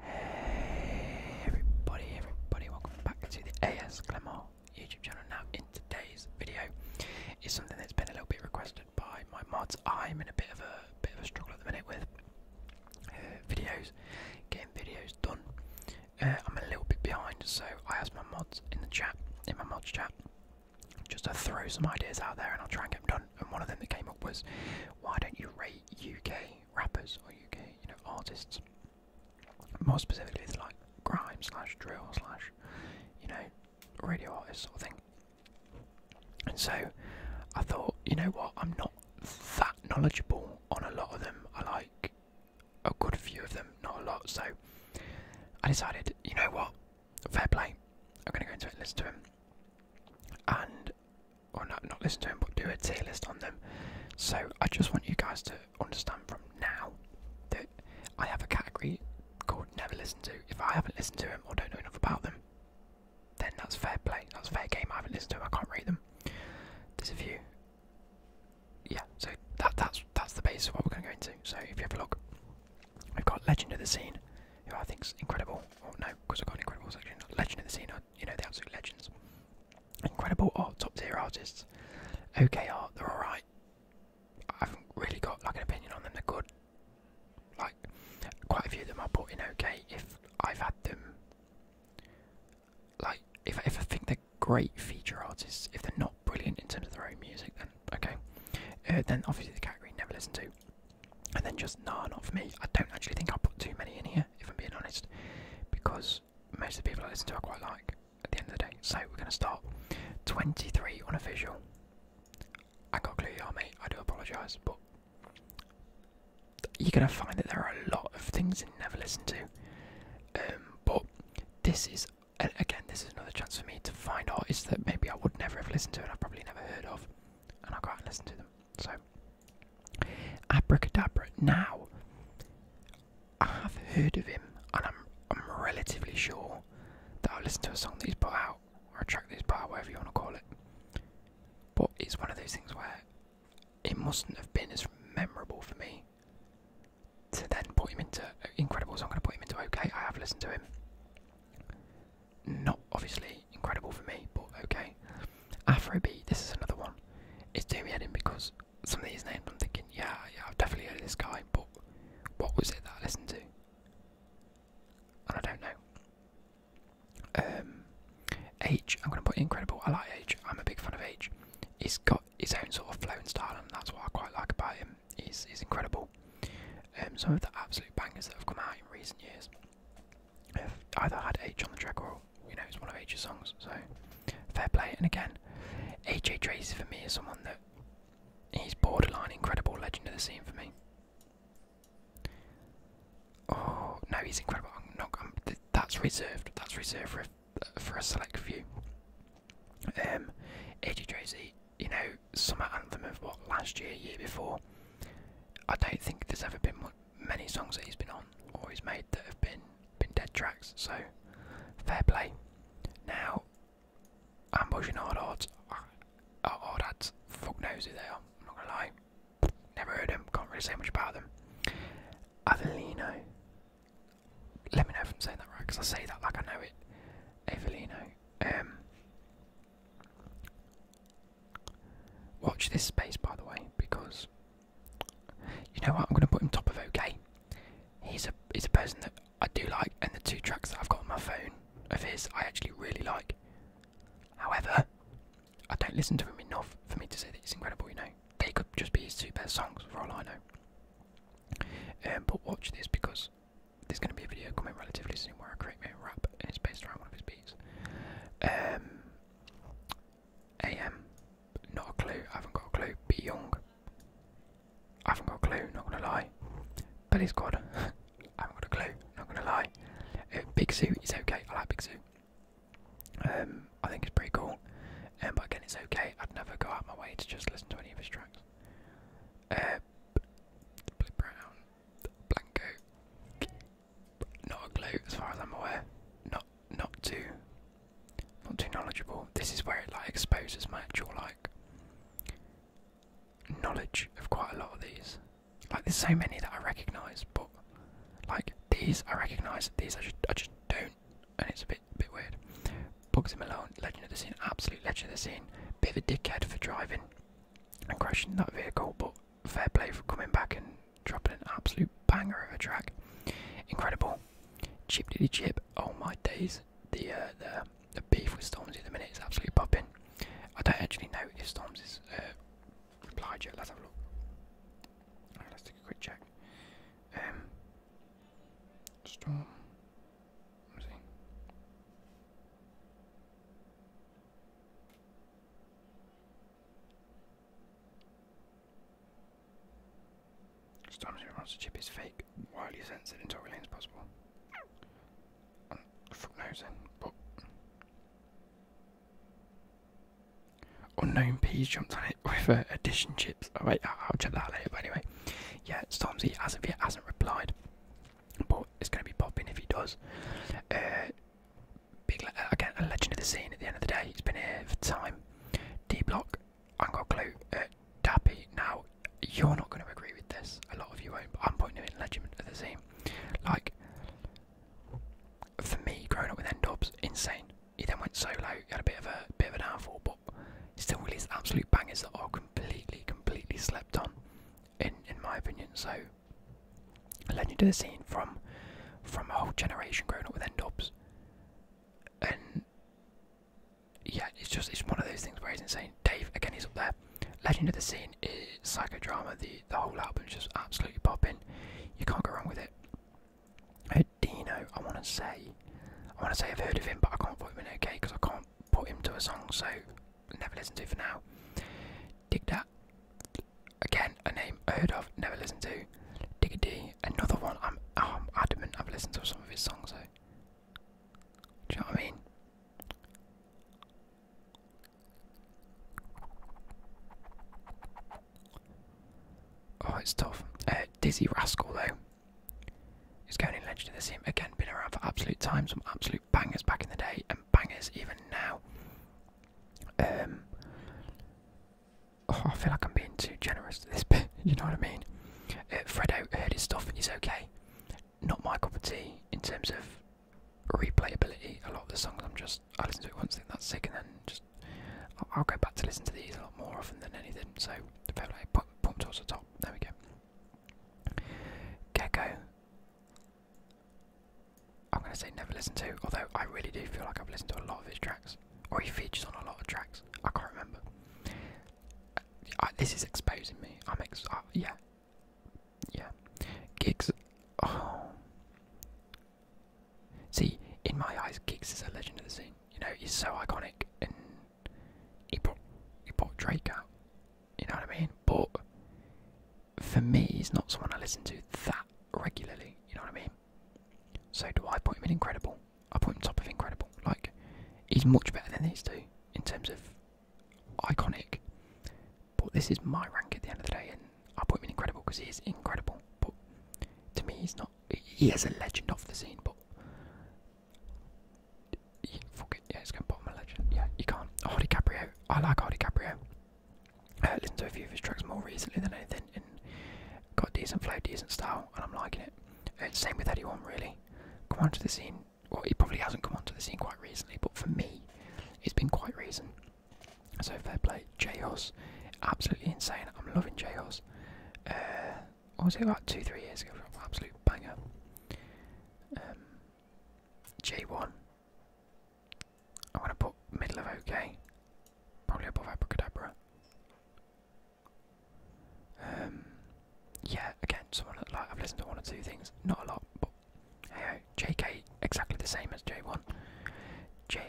Hey everybody, everybody, welcome back to the AS Glamour YouTube channel. Now, in today's video, is something that's been a little bit requested by my mods. I'm in a bit of a bit of a struggle at the minute with uh, videos, getting videos done. Uh, I'm a little bit behind, so I asked my mods in the chat, in my mods chat, just to throw some ideas out there, and I'll try and get them done. And one of them that came up was, why don't you rate UK rappers or UK, you know, artists. More specifically, it's like grime slash drill slash, you know, radio artists sort of thing. And so I thought, you know what, I'm not that knowledgeable on a lot of them. I like a good few of them, not a lot. So I decided, you know what, fair play. I'm gonna go into it and listen to him. And or not not listen to them, but do a tier list on them. So I just want you guys to understand from now that I have a category called never listen to. If I haven't listened to them or don't know enough about them, then that's fair play. That's fair game. I haven't listened to them. I can't read them. There's a few. Yeah. So that that's that's the basis of what we're going to go into. So if you have a look, we've got Legend of the Scene, who I think's incredible. Or oh, no, because I've got incredible section. Legend of the Scene you know the absolute legends. Incredible art, top tier artists. Okay art, they're alright. I haven't really got like an opinion on them. They're good. Like quite a few of them I bought in okay if I've had them. Like if if I think they're great feature artists, if they're not brilliant in terms of their own music, then okay. Uh, then obviously the category never listen to and then just none for me. I don't actually think I'll put too many in here, if I'm being honest, because most of the people I listen to I quite like at the end of the day. So we're going to start 23 unofficial. I got clue, y'all, mate. I do apologise, but you're going to find that there are a lot of things you never listen to. Um, but this is, again, this is another chance for me to find artists that maybe I would never have listened to and I've probably never heard of, and I go out and listen to them. So Abracadabra. Now, I have heard of him, and I'm relatively sure that I've listened to a song that he's put out, or a track that he's put out, whatever you want to call it. But it's one of those things where it mustn't have been as memorable for me to then put him into uh, incredible. So I'm going to put him into OK. I have listened to him not obviously incredible for me, but okay. Afrobeat, this is another one. It's doing me because some of these names I'm thinking, yeah, yeah, I've definitely heard of this guy, but what was it that I listened to? And I don't know. Um, H, I'm going to put incredible. I like H. I'm a big fan of H. He's got his own sort of flow and style, and that's what I quite like about him. He's, he's incredible. Um, some of the absolute bangers that have come out in recent years either had H on the track or you know it's one of H's songs. So fair play. And again, AJ Tracy for me is someone that he's borderline incredible legend of the scene for me. Oh no, he's incredible. that's reserved. That's reserved for a, for a select few. Um, AJ Tracy, you know, summer anthem of what last year, year before. I don't think there's ever been much, many songs that he's been on or he's made that have been been dead tracks. So fair play. Now, ambush and hard odds. Oh, uh, odds. Uh, fuck knows who they are. I'm not gonna lie. Never heard him. Can't really say much about them. Avellino. Let me know if I'm saying that right, because I say that like I know it. Avellino. Um, Watch this space, by the way, because you know what? I'm going to put him top of OK. He's a he's a person that I do like, and the two tracks that I've got on my phone of his I actually really like. However, I don't listen to him enough for me to say that he's incredible. You know, they could just be his two best songs for all I know. Um, but watch this because there's going to be a video coming relatively soon where I create a own rap and it's based around one of his beats. Um, AM, not a clue, I haven't got a clue. Be Young, I haven't got a clue, not gonna lie. Billy Squad, I haven't got a clue, not gonna lie. Uh, Big Suit is okay, I like Big Suit. Um, I think it's pretty cool, um, but again, it's okay. I'd never go out my way to just listen to any of his tracks. Uh, Brown, Blanco, not a clue as far as I'm aware. Not not too not too knowledgeable. This is where it like exposes my actual like knowledge of quite a lot of these. Like there's so many that I recognise, but like these I recognise, these I just I just don't, and it's a bit bit weird. Bugsy Malone, legend of the scene, absolute legend of the scene. Bit of a dickhead for driving and crashing that vehicle, but fair play for coming back and dropping an absolute banger of a track. Incredible. Chip diddy chip. Oh my days. The uh, the the beef with Stormzy at the minute is absolutely popping. I don't actually know if Stormzy's uh, replied yet. Let's have a look. let's take a quick check. Um, Storm. Sometimes wants to chip is fake, wildly censored until we lane as possible. fuck knows Unknown peas jumped on it with uh, addition chips. Oh wait, I'll check that later. But anyway, yeah, Stormzy as of yet hasn't replied, but it's going to be popping if he does. Uh, big uh, again a legend of the scene. At the end of the day, he's been here for time. D block, I have got a clue. Uh, Dappy. Now you're not going to agree with this. A lot of you won't. But I'm putting him in legend of the scene. Like for me, growing up with N Dobbs, insane. He then went solo. He had a bit of a bit of an downfall, but he still released absolute bangers that are completely, completely slept on in in my opinion. So Legend of the Scene from from a whole generation growing up with N-Dubs. And yeah, it's just it's one of those things where it's insane. Dave again he's up there. Legend of the Scene is psychodrama, the the whole is just absolutely popping. You can't go wrong with it. Uh, Dino, I wanna say I wanna say I've heard of him but I can't put him in okay because I can't put him to a song so never listen to it for now. Dig that Again, a name I heard of, never listened to. Diggity, another one. I'm, oh, I'm adamant. I've listened to some of his songs though. Do you know what I mean? Oh, it's tough. Uh, Dizzy Rascal though. He's going in Legend of the Sim again. Been around for absolute times, Some absolute bangers back in the day and bangers even now. Um, oh, I feel like I'm being too generous to this bit, you know what I mean? Uh, Fredo his stuff and he's okay. Not my cup of tea in terms of replayability. A lot of the songs I'm just, I listen to it once, and that's sick, and then just, I'll, go back to listen to these a lot more often than anything. So, fair play, pump, pump towards the top, there we go. Gecko, I'm gonna say never listen to, although I really do feel like I've listened to a lot of his tracks, or he features on a lot of tracks. I can't remember. this is exposing me. I'm ex. Uh, yeah, yeah. Gigs. Oh. See, in my eyes, Gigs is a legend of the scene. You know, he's so iconic, and he brought he brought Drake out. You know what I mean? But for me, he's not someone I listen to that regularly. You know what I mean? So do I put him in Incredible? I put him top of Incredible. Like he's much better than these two in terms of iconic. But this is my rank at the end of the day, and I put him in Incredible because he's incredible. But to me, he's not. He has a legend off the scene, but. Yeah, fuck it. Yeah, it's going to bottom a legend. Yeah, you can't. Hardy Caprio. I like Hardy Caprio uh, listened to a few of his tracks more recently than anything and got decent flow, decent style, and I'm liking it. same with Eddie One, really. Come onto the scene, well, he probably hasn't come onto the scene quite recently, but for me, it's been quite recent. So fair play, J-Hus, absolutely insane. I'm loving J-Hus. Uh, what was it about two, three years ago? Absolute banger. Um, J1, I want to put middle of OK. Probably above Abracadabra. Um, yeah, again, someone like I've listened to one or two things, not a lot, but hey, JK exactly the same as J1. J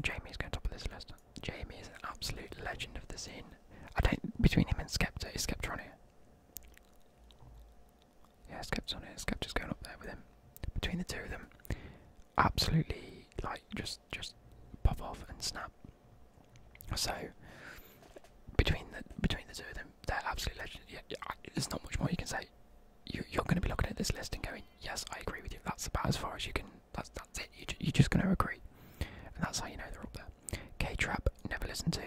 Jamie's going top of this list. Jamie is an absolute legend of the scene. I don't between him and Skepta is Skepta on here. Yeah, Skep's on it. Skep just going up there with him. Between the two of them, absolutely like just just pop off and snap. So between the between the two of them, they're absolutely legends. Yeah, there's not much more you can say. You, are going to be looking at this list and going, yes, I agree with you. That's about as far as you can. That's that's it. You, you're just going to agree, and that's how you know they're up there. K Trap never listened to.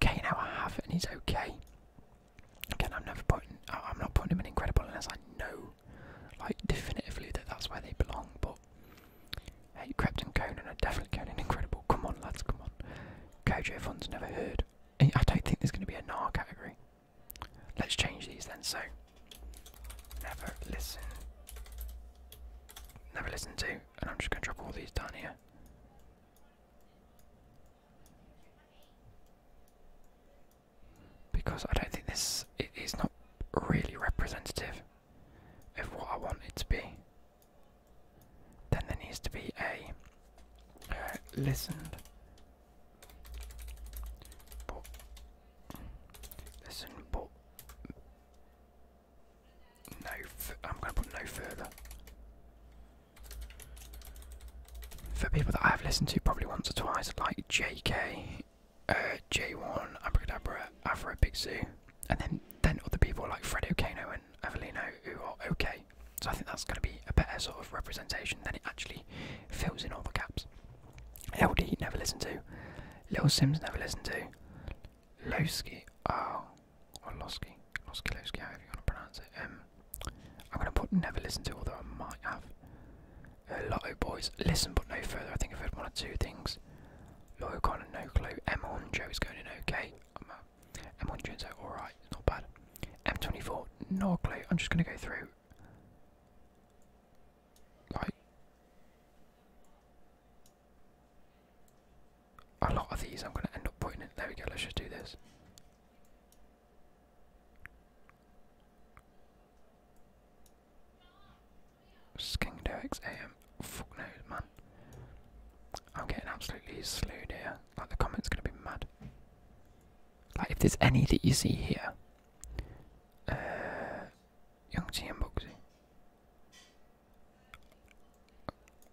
K now I have and he's okay. Again, I'm never putting. I'm not putting him in incredible unless I know, like definitively that that's where they belong. But hey, Crepton Conan are definitely going in incredible. Come on, lads, come on. Kojo Fun's never heard. I don't think there's going to be a NAR category. Let's change these then. So, never listen. Never listen to, and I'm just going to drop all these down here because I don't think this is not really representative of what I want it to be. Then there needs to be a uh, listened listen but no, I'm going to put no further for people that I have listened to probably once or twice, like JK, uh, J1, Abracadabra, Afro Big Zoo, and then then other people like Fred O'Cano and Evelino who are okay. So I think that's going to be a better sort of representation than it actually fills in all the gaps. LD never listened to, Little Sims never listened to, Lowski, oh, or Losky, Loskilowski, however you want to pronounce it. Um, I'm going to put never listen to, although I might have. Uh, Lotto Boys, listen but no further. I think I've heard one or two things. Lotto Con and no clue. M1 is going in okay. M1 Joe's uh, alright, not bad. M24, no clue. I'm just going to go through. Like, a lot of these I'm going to end up putting in. There we go, let's just do this. Skingodex AM. Fuck knows, man. I'm getting absolutely slewed here. Like, the comments gonna be mad. Like, if there's any that you see here, uh, Young T and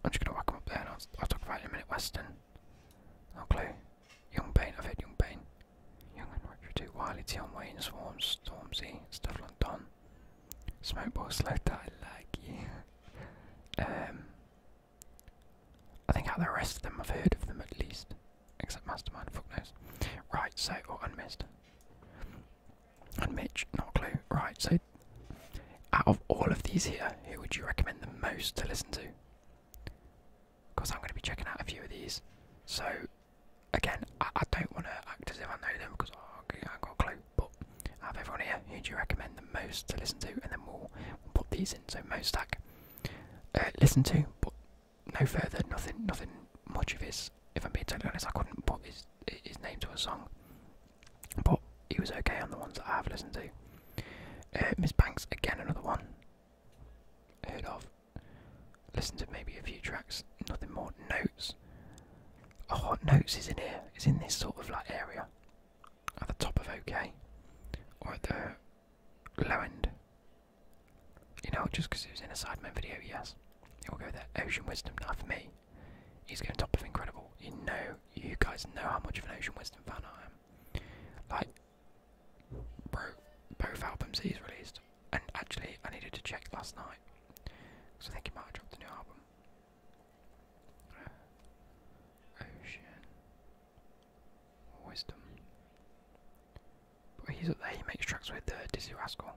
I'm just gonna walk him up there and I'll, talk about it in a minute. Weston. No clue. Young Bain, I've hit Young Bain. Young and Richard too. Wiley, Tion Wayne, Swarms, Stormzy, Stuff like Smokeball, slow I like you. um I think out the rest of them I've heard of them at least. Except Mastermind, fuck knows. Right, so or oh, unmissed. not a clue. Right, so out of all of these here, who would you recommend the most to listen to? Because I'm going to be checking out a few of these. So, again, I, don't want to act as if I know them because oh, I have got a clue. But out of everyone here, who do you recommend the most to listen to? And then we'll, put these in. So, most uh, listen to, but no further, nothing, nothing much of his. If I'm being totally honest, I couldn't put his his name to a song but he was okay on the ones that I have listened to. Uh, Miss Banks, again, another one heard of. Listened to maybe a few tracks, nothing more. Notes. Oh, Notes is in here. It's in this sort of like area, at the top of OK, or at the low end. You know, just because it was in a Sidemen video, yes. It will go there. Ocean Wisdom, now for me, he's going top of Incredible. You know, you guys know how much of an Ocean Wisdom fan I am. Like, bro, both albums he's released. And actually, I needed to check last night. Because I think he might have dropped new album. Ocean. Wisdom. But he's up there, he makes tracks with uh, Dizzy Rascal.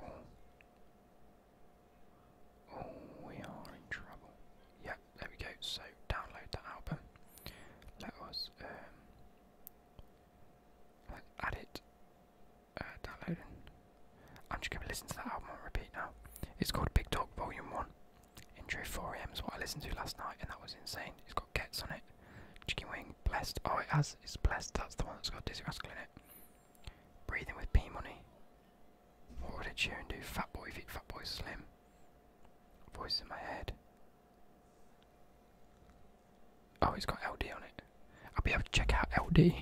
Oh. Oh, we are in trouble. Yeah, there we go. So, download that album. Let us um, add it. Uh, downloading. I'm just gonna listen to that album on repeat now. It's called Big Dog Volume One. Intro 4am is what I listened to last night, and that was insane. It's got Gets on it. Chicken Wing, Blessed. Oh, it has. It's Blessed. That's the one that's got Dizzy Rascal in it. Breathing with P Money. What would Ed Sheeran do? Fat boy feet, fat boy slim. Voice in my head. Oh, it's got LD on it. I'll be able to check out LD.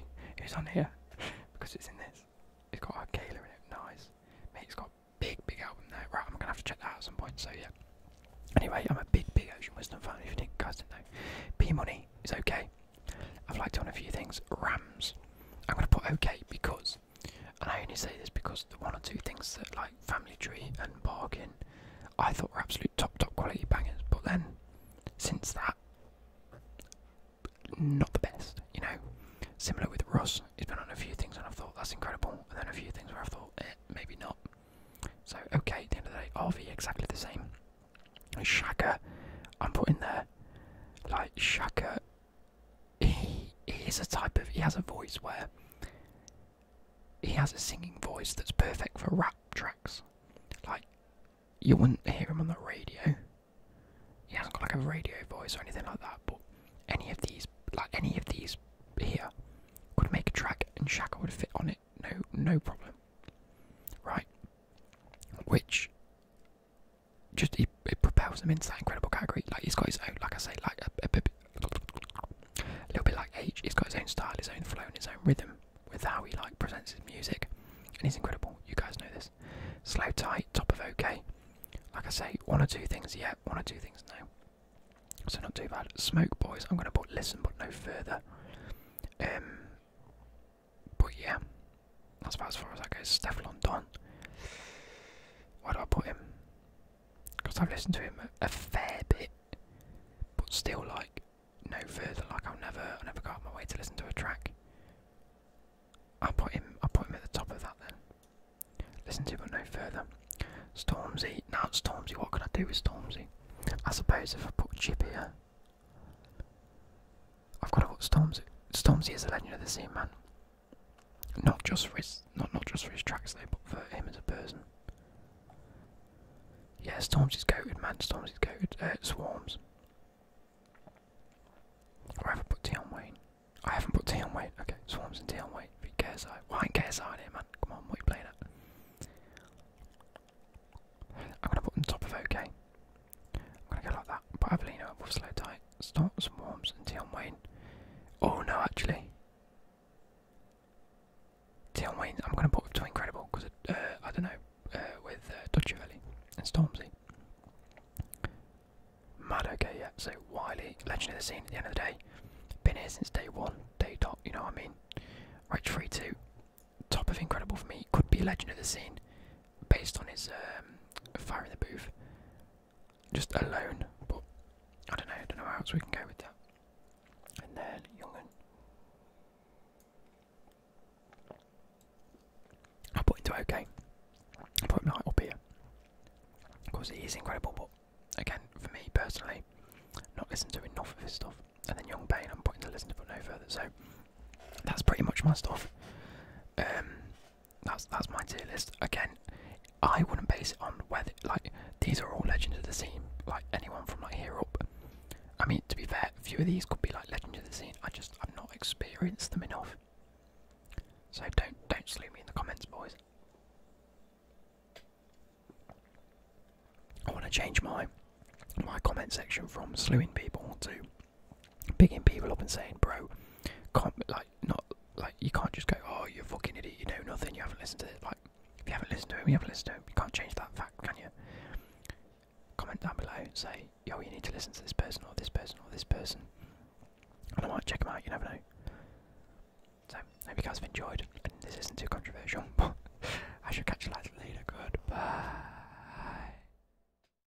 Who's on here? because it's in this. It's got Arcala in it. Nice. Mate, it's got big, big album there. Right, I'm gonna have to check that out at some point. So yeah. Anyway, I'm a big, big Ocean Wisdom fan. If you guys didn't know, P Money is okay. I've liked on a few things. Rams. I'm gonna put okay because and I only say this because the one or two things that like Family Tree and Bargain I thought were absolute top top quality bangers, but then since that not the best, you know. Similar with Ross, he's been on a few things and i thought that's incredible, and then a few things where i thought eh, maybe not. So okay, at the end of the day, RV exactly the same. Shaka, I'm putting there. Like Shaka he, he is a type of he has a voice where he has a singing voice that's perfect for rap tracks. Like you wouldn't hear him on the radio. He hasn't got like a radio voice or anything like that, but any of these like any of these here could make a track and Shaka would fit on it, no no problem. Right. Which just he, it propels him into that incredible category. Like he's got his own, like I say, like a, a, a little bit like H. He's got his own style, his own flow, and his own rhythm with how he like presents his music, and he's incredible. You guys know this. Slow, tight, top of OK. Like I say, one or two things, yet, one or two things, now. So not too bad. Smoke Boys. I'm gonna put listen, but no further. Um, but yeah, that's about as far as that goes. Stefan Don. Why do I put him? Because I've listened to him a, fair bit, but still like no further. Like I'll never, i never go out of my way to listen to a track. I'll put him. i put him at the top of that then. Listen to, him, but no further. Stormzy. Now Stormzy. What could I do with Stormzy? I suppose if I put Chip here, I've got to watch Storms. Storms is a legend of the scene, man. Not just for his, not not just for his tracks though, but for him as a person. Yeah, Stormzy's goated, man. Stormzy's goated. Uh, swarms. Or I haven't put T Wayne. I haven't put T on Wayne. Okay, Swarms and T on Wayne. Be KSI. Why ain't KSI in here, man? Come on, what are you playing I'm gonna put on top of OK. I'm gonna go like that. But Avelino with slow tight. Starts Worms and Tion Wayne. Oh no, actually. Tion Wayne, I'm gonna put to Incredible because uh, I don't know uh, with uh, Dutch and Stormzy. Mad okay, yeah. So Wiley, legend of the scene. At the end of the day, been here since day one, day dot. You know what I mean? Right, three two, top of Incredible for me. Could be legend of the scene based on his um, fire in the booth, just alone. But I don't know. I don't know how else we can go with that. And then Youngen. I put into okay. I put him right up here. Of course, he is incredible, but again, for me personally, not listened to enough of his stuff. And then Young Bane, I'm putting to listen to but no further. So that's pretty much my stuff. Um, that's that's my tier list. Again, I wouldn't base it on whether like these are all legends of the scene, like anyone from like here up. I mean, to be fair, a few of these could be like legends of the scene. I just I've not experienced them enough. So don't don't slue me in the comments, boys. I want to change my my comment section from sluing people to picking people up and saying, bro, can't like not like you can't just go, oh, you're a fucking idiot, you know nothing, you haven't listened to it. Like if you haven't listened to it, we haven't listened to him. You can't change that fact, can you? Comment down below, and say, yo, you need to listen to this person or this person or this person, and I might check them out. You never know. So, hope you guys have enjoyed, this isn't too controversial. I should catch you later. Good bye.